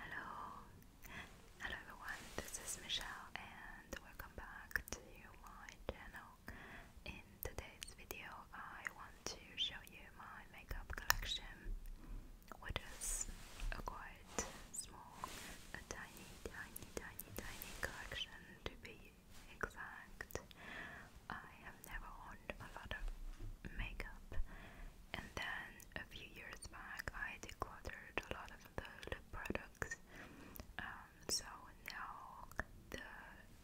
Hello, hello everyone. This is Michelle, and welcome back to my channel. In today's video, I want to show you my makeup collection, which is a quite small, a tiny, tiny, tiny, tiny collection to be exact. I have never owned a lot of makeup and then a few years back, I decluttered a lot of the lip products. Um, so now the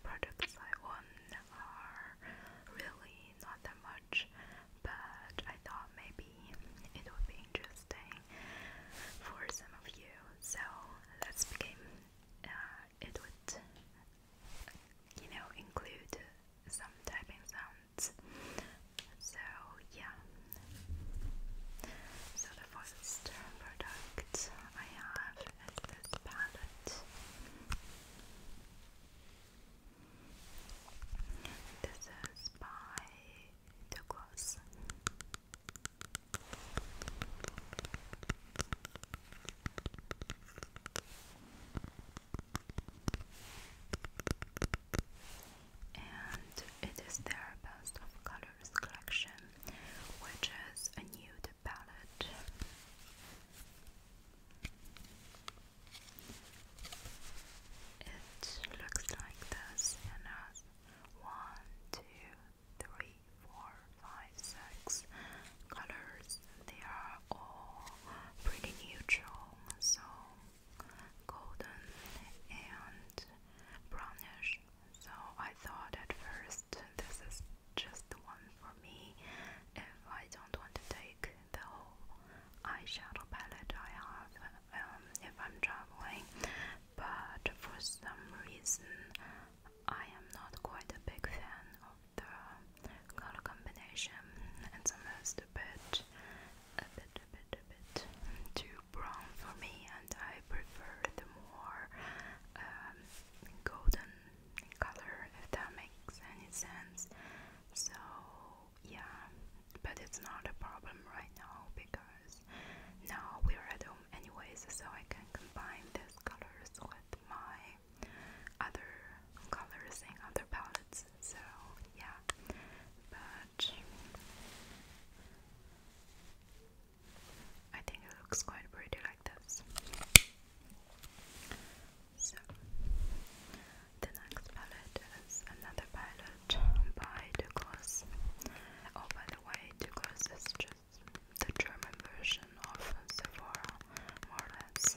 products I own are really not that much, but I thought maybe it would be interesting for some of you. So let's begin. Uh, it would, you know, include some typing sounds. So yeah. So the first product I have is this palette. This is by Douglas and it is their best of colors collection, which is a nude palette. It looks like this one, two, three, four, five, six, colors they are all pretty neutral so golden and brownish so I thought at first this is just the one for me if I don't want to take the whole eyeshadow palette I have um, if I'm traveling but for some reason I am not quite a big fan of the color combination. It's almost a bit, a bit, a bit, a bit too brown for me, and I prefer the more um, golden color, if that makes any sense. So, yeah, but it's not a problem right now because now we're at home anyways, so I can combine these colors with my other colors in other palettes. So yeah, but I think it looks quite pretty like this. So the next palette is another palette by Douglas. Oh, by the way, Douglas is just the German version of Sephora, more or less.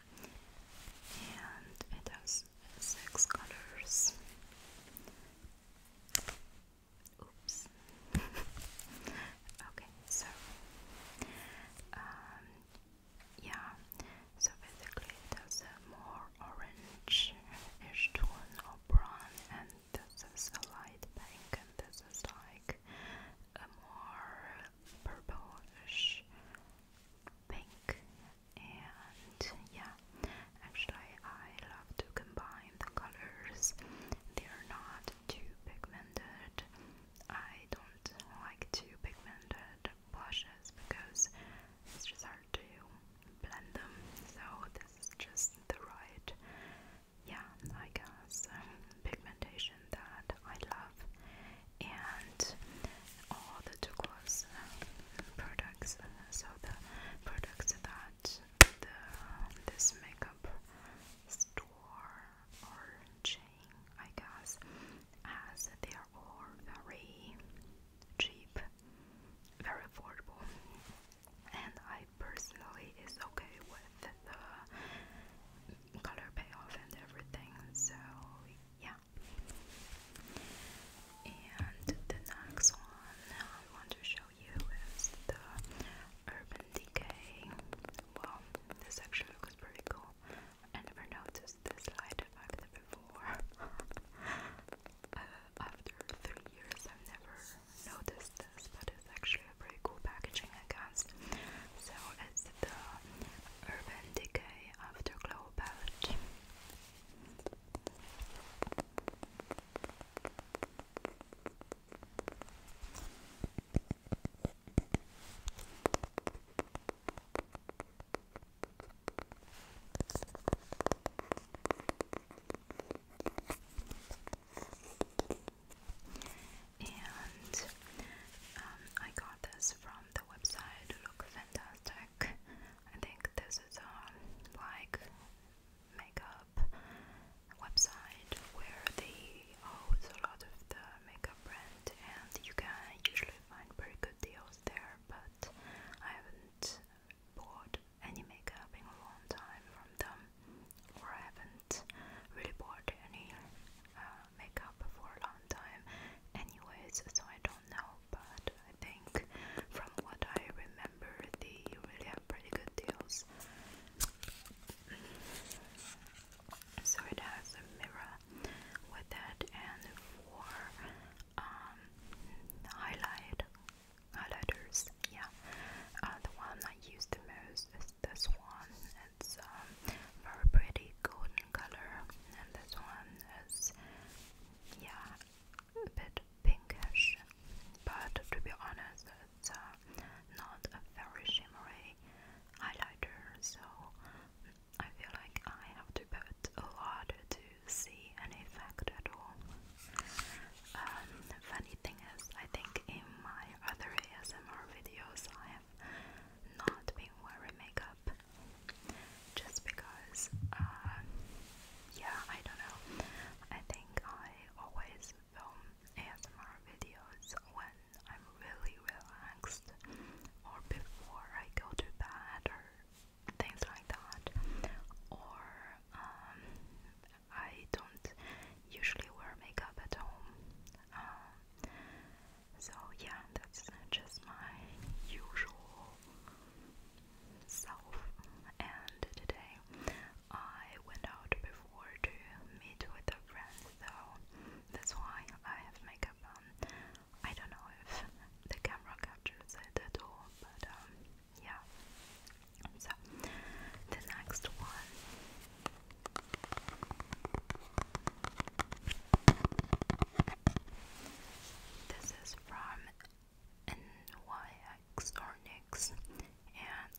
and it has six colors. Oops. okay, so um, yeah, so basically it has a more orange-ish tone or brown, and this is a light pink, and this is like a more purplish pink and yeah actually I love to combine the colors they're not too pigmented I don't like too pigmented blushes because it's just hard to blend them so this is just the right yeah I guess um, pigmentation that I love and all the Douglas products. So the products that the this makeup store or chain, I guess, as they are all very cheap, very affordable, and I personally is okay with the color payoff and everything. So yeah, and the next one I want to show you is the Urban Decay. Well, this actually looks pretty cool. I never noticed this light effect before. Uh, after three years, I've never noticed this, but it's actually a pretty cool packaging, I guess. So it's the Urban Decay Afterglow palette. And um, I got this from um, the website look fantastic. I think this is a like makeup website where they house a lot of the makeup brand, and you can usually find very good deals there. But I haven't bought any makeup in a long time from them, or I haven't really bought any uh, makeup for a long time, anyways, so I don't know. But I think from what I remember, they really have pretty good deals. So it has a mirror with it, and for um, highlight highlighters, yeah, uh, the one I use the most is this one. It's um, very pretty golden color and this one is yeah a bit pinkish but to be honest it's uh, not a very shimmery highlighter so I feel like I have to put a lot to see an effect at all. Um, funny thing is I think in my other ASMR videos I have not been wearing makeup just because, um, yeah, I don't know. I think I always film ASMR videos when I'm really relaxed or before I go to bed or things like that, or um, I don't usually wear makeup at home. Um, so, yeah, that's just my usual self. And today I went out before to meet with a friend, so that's why I have makeup on. I don't know if the camera captures it at but um, yeah. So, the next one this is from NYX or NYX and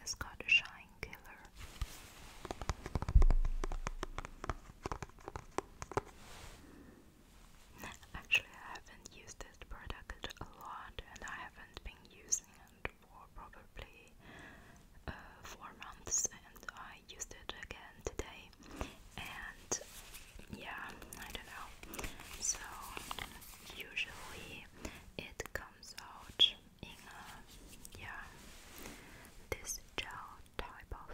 it's called Shine Killer. Actually, I haven't used this product a lot and I haven't been using it for probably uh, four months and I used it again today and yeah I don't know so usually it comes out in a yeah this gel type of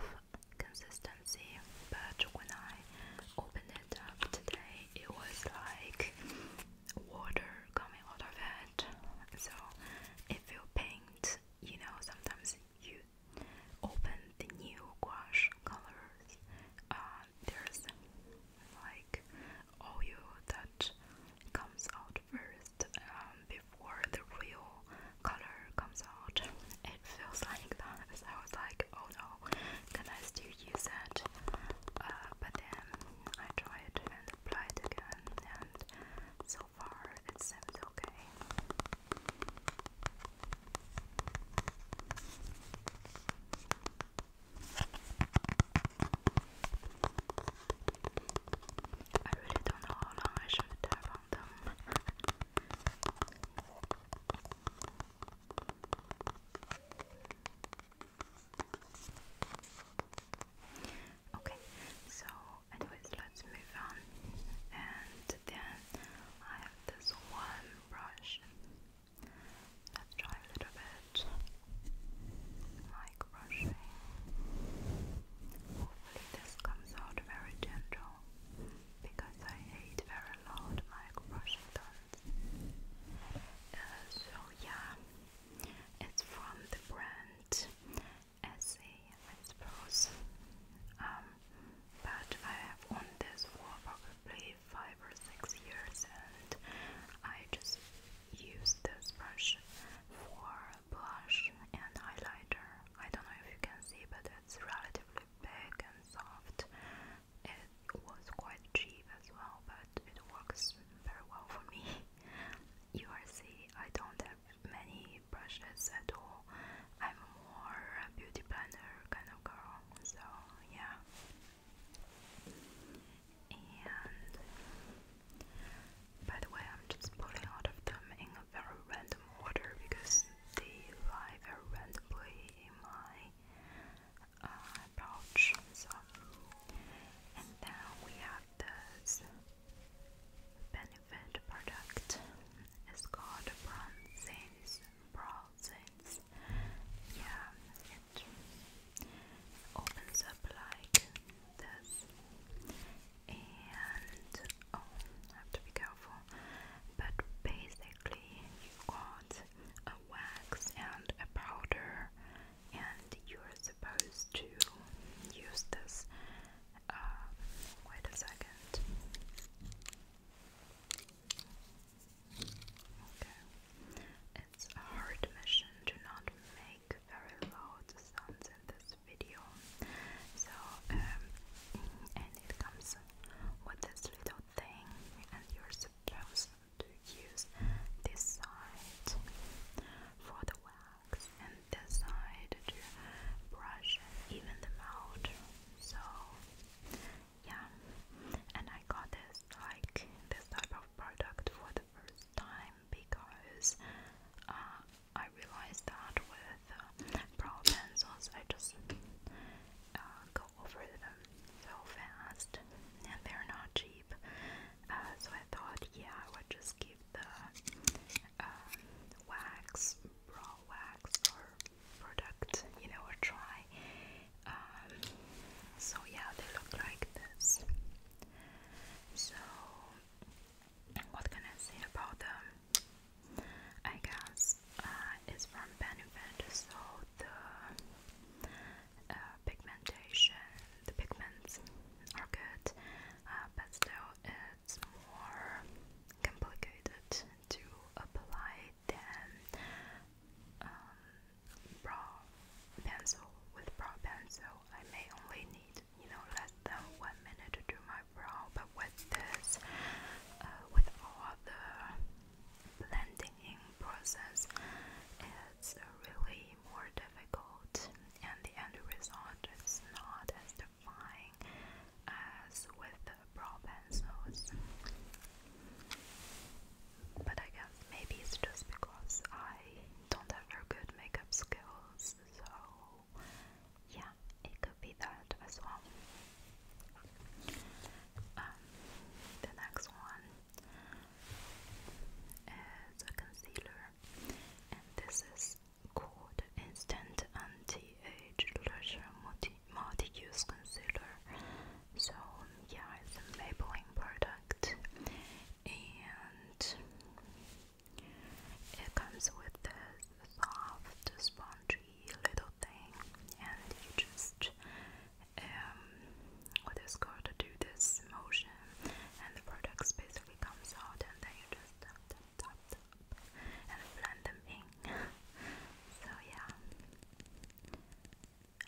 consistency but when I opened it up today it was like water coming out of it so if you paint you know, sometimes you open the new gouache colors, uh, there's like oil that comes out first um, before the real color comes out. It feels like that. So I was like, oh no, can I still use that? Uh, but then I tried and applied again, and okay. I really don't know how long I should have on them. okay, so anyways let's move on and then I have this one brush let's try a little bit like brushing hopefully this comes out very gentle because I hate very loud mic brushing tones uh, so yeah it's from the brand essay, I suppose. but I have owned this for probably five or six years, and I just use this brush for blush and highlighter. I don't know if you can see, but it's relatively big and soft. It was quite cheap as well, but it works very well for me. You I don't have many brushes at all. I'm more a beauty planner kind of girl, so yeah. And by the way, I'm just pulling out of them in a very random order because they lie very randomly in my uh, pouch. So, and then we have this benefit product is called bronzes, bronzes. Yeah, it opens up like this, and oh, I have to be careful. But basically, you've got a wax and a powder, and you're supposed to use this um, wait a second. Okay. It's a hard mission to not make very loud sounds in this video. So, um, and it comes with this little thing, and you're supposed to use this side for the well relax and decide to brush and even them out. So, yeah, and I got this like this type of product for the first time because uh, I realized that with uh, brow pencils I just uh, go over them so fast and they're not cheap. Uh, so I thought, yeah, I would just give the uh, wax, raw wax or product, you know, or try. Um, so yeah, they look like this. So what can I say about them? I guess uh, it's from Benefit, so the uh, pigmentation, the pigments are good. Uh, but still it's more complicated to apply than um, brow pencil. With brow pencil, I may only need you know less than one minute to do my brow, but with this, uh, with all the blending in process, it's really more difficult, and the end result is not as defined as with the brow pencils. But I guess maybe it's just because I don't have good makeup skills, so yeah, it could be that as um, the next one is a concealer and this is called Instant Anti-Age Leisure Multi-Use Concealer. So yeah, it's a Maybelline product, and it comes with this soft, spongy little thing, and you just um, what is called do this motion and the products basically comes out and then you just tap tap tap, tap and blend them in. so yeah,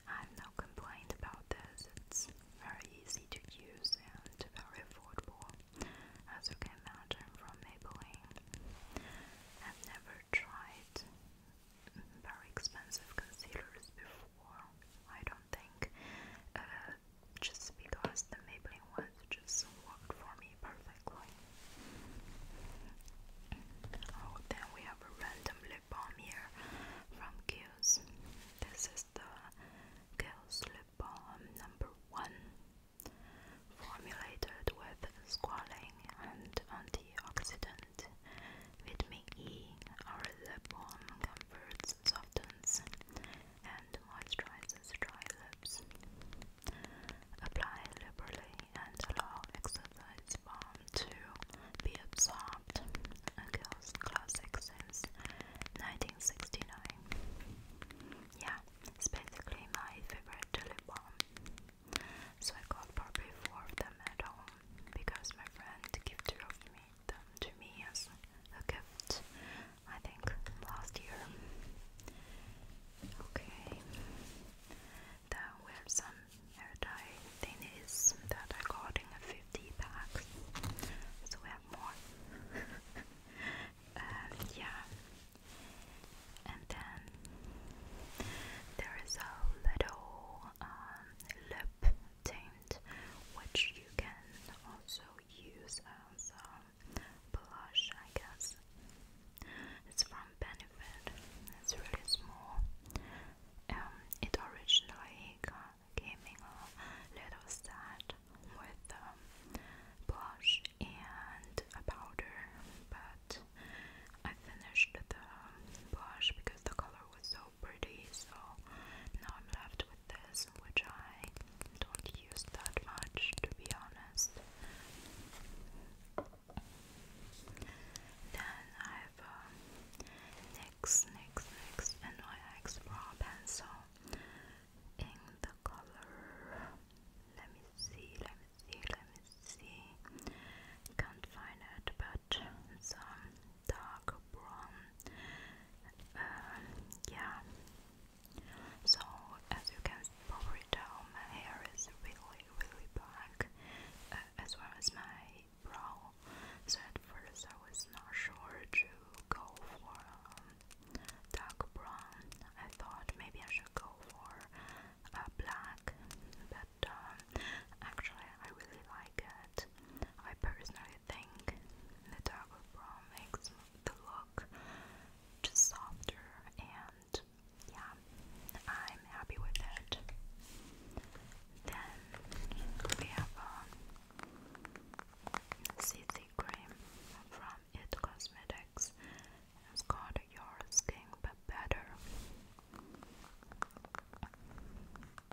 I've no complaint about this. It's very easy to use and very affordable, as you can imagine from Maybelline. I've never tried very expensive concealers before war, I don't think. Uh, just because the Maybelline ones just worked for me perfectly. Oh, then we have a random lip balm here from Kiehl's. This is the Kiehl's lip balm number one, formulated with squalane and antioxidant vitamin E. Our lip balm converts, softens, and moisturizes dry lips. Apply liberally and allow exercise balm to be absorbed. A girl's 1969. Yeah, basically my favorite lip balm. So I got probably four of them at home because my friend gifted me done to me as a gift, I think, last year. Okay, there were some hair dye thingies that I got in a 50 pack, so we have more. Um, yeah, and then there is a little um, lip tint which you can also use as uh, blush, I guess. It's from Benefit. It's really small. Um, it originally came in a little set with um, blush and a powder, but I finished the blush because the color was so pretty, so now I'm left with this, which I don't use that much to be honest. Then I have um, Brow Pencil in the color. Let me see, let me see, let me see. Can't find it, but it's um, dark brown um, yeah. So as you can probably tell, my hair is really, really black, uh, as well as my brow. So at first I was not sure to go for um, dark brown. I thought maybe I should go for uh, black, but um, actually I really like it. I personally think the double brown makes the look just softer and yeah, I'm happy with it. Then we have a um, CC cream from It Cosmetics. It's called Your Skin But Better. Uh,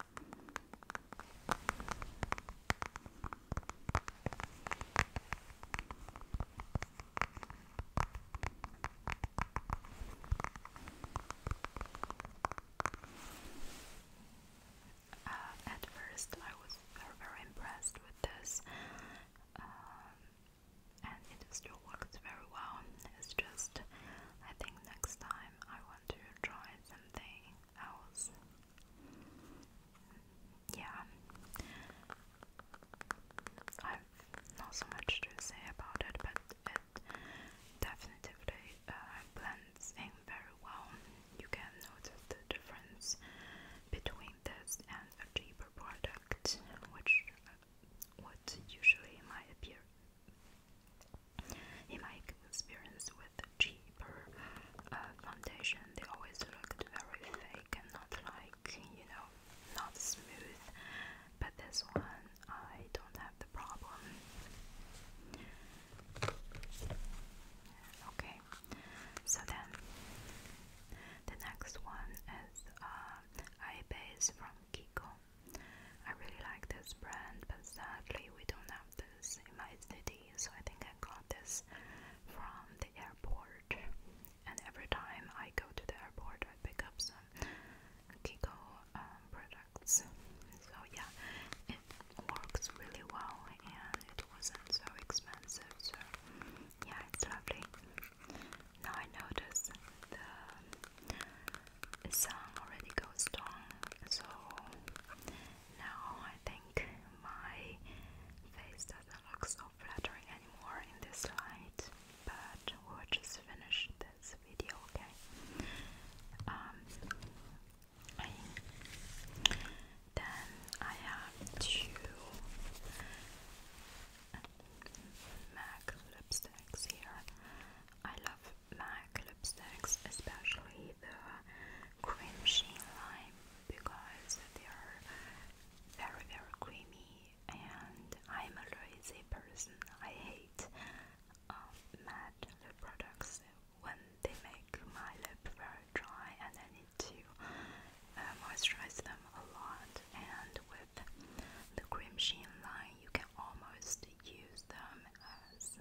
at first, I was very, very impressed with this, um, and it still works very well. It's just, I think next time I want to try something house. Yeah. I've not so much to say about it, but it definitely uh, blends in very well. You can notice the difference between this and a cheaper product, which uh, would usually might appear in my experience with cheaper uh, foundation, they always looked very fake and not like you know, not smooth. But this one, I don't have the problem. Okay, so then the next one is uh, eye base from Kiko. I really like this brand, but sadly we don't have have this city, so I think I got this from the airport. And every time I go to the airport, I pick up some Kiko um, products. So yeah, it works really well, and it wasn't so expensive. So yeah, it's lovely. Now I notice the sun already goes down, so now I think my face doesn't look so flattering anymore in this light, but we'll just finish this video, okay? Um, then I have two uh, MAC lipsticks here. I love like lipsticks, especially the cream sheen lime, because they are very, very creamy. And I'm a lazy person. I hate um, matte products when they make my lip very dry, and I need to uh, moisturize them a lot. And with the cream sheen line, you can almost use them as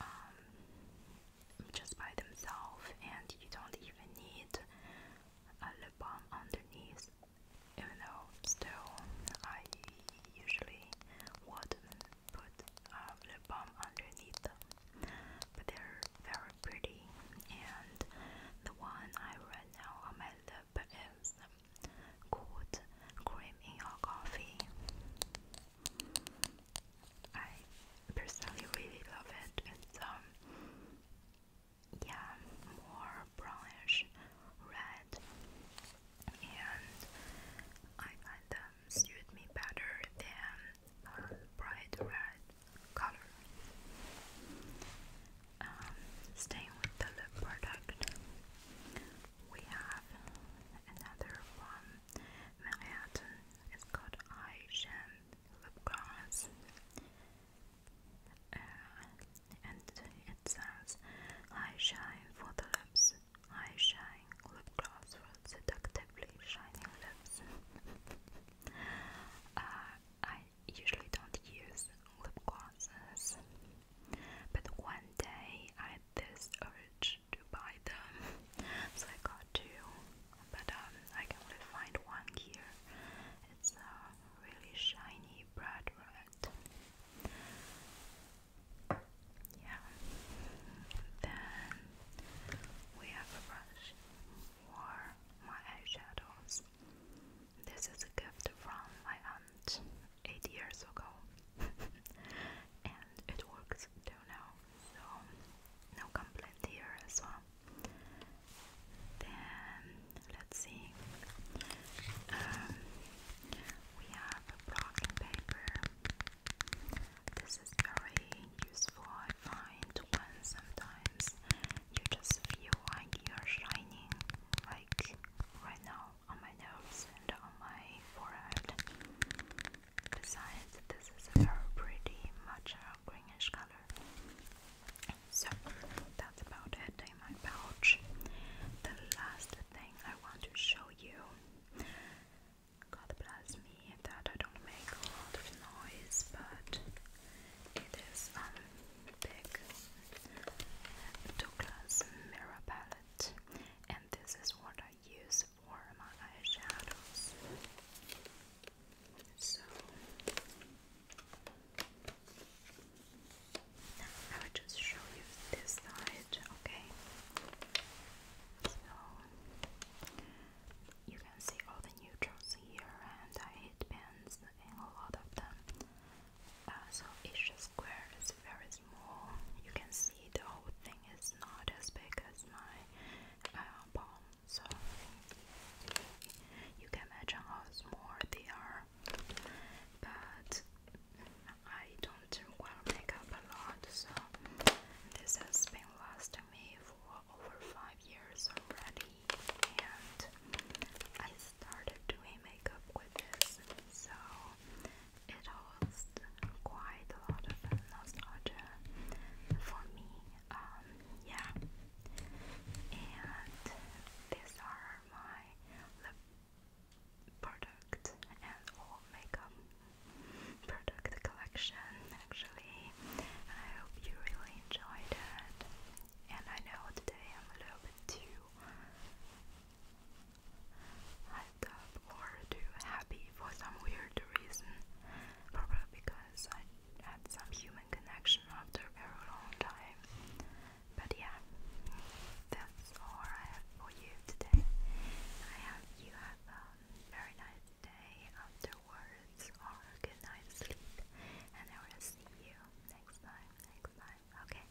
um, just by themselves, and you don't even need a lip balm underneath. Even though, still, I usually would put uh, lip balm underneath them, but they're very pretty. And the one I right now on my lip is called Cream in Your Coffee. I personally really love it. It's um, yeah, more brownish red, and I find them suit me better than bright red color. Um, staying with the lip product, we have another one. Manhattan. It's called Eye Sham Lip Gloss. Uh, and it says Eye Shine for the lips. Eye Shine Lip Gloss for seductively shining lips. uh, I usually don't use lip glosses, but one day I this urge to buy them, so I got two. But um, I can only find one here. It's a really shiny bright red. Yeah. Then we have a brush for my eyeshadows. This is a gift from my 8 years ago and it works till now, so no complaint here as well. Then, let's see, um, we have a blocking paper. This is very useful, I find, when sometimes you just feel like you shining, like right now on my nose and on my forehead. Besides, this is a very pretty matcha greenish color. So that's about it in my pouch. The last thing I want to show you. God bless me that I don't make a lot of noise, but it is a um, big Douglas mirror palette and this is what I use for my eyeshadows. So I will just show you this side, okay? So you can see all the neutrals here and the heat pins and a lot of them. Uh, so each square is very small. You can see the whole thing is not as big as my uh, palm. So you can imagine how small they are. But I don't wear makeup a lot, so this has been lasting me for over five years already. And I started doing makeup with this, so it holds quite a lot of nostalgia for me. Um, yeah, and these are my lip product and all makeup product collection. Actually, I hope you really enjoyed it. And I know today I'm a little bit too I got more too happy for some weird reason, probably because I had some human connection after a very long time. But yeah, that's all I have for you today. I hope you have a very nice day afterwards or a good night's sleep, and I will see you next time. Next time, okay?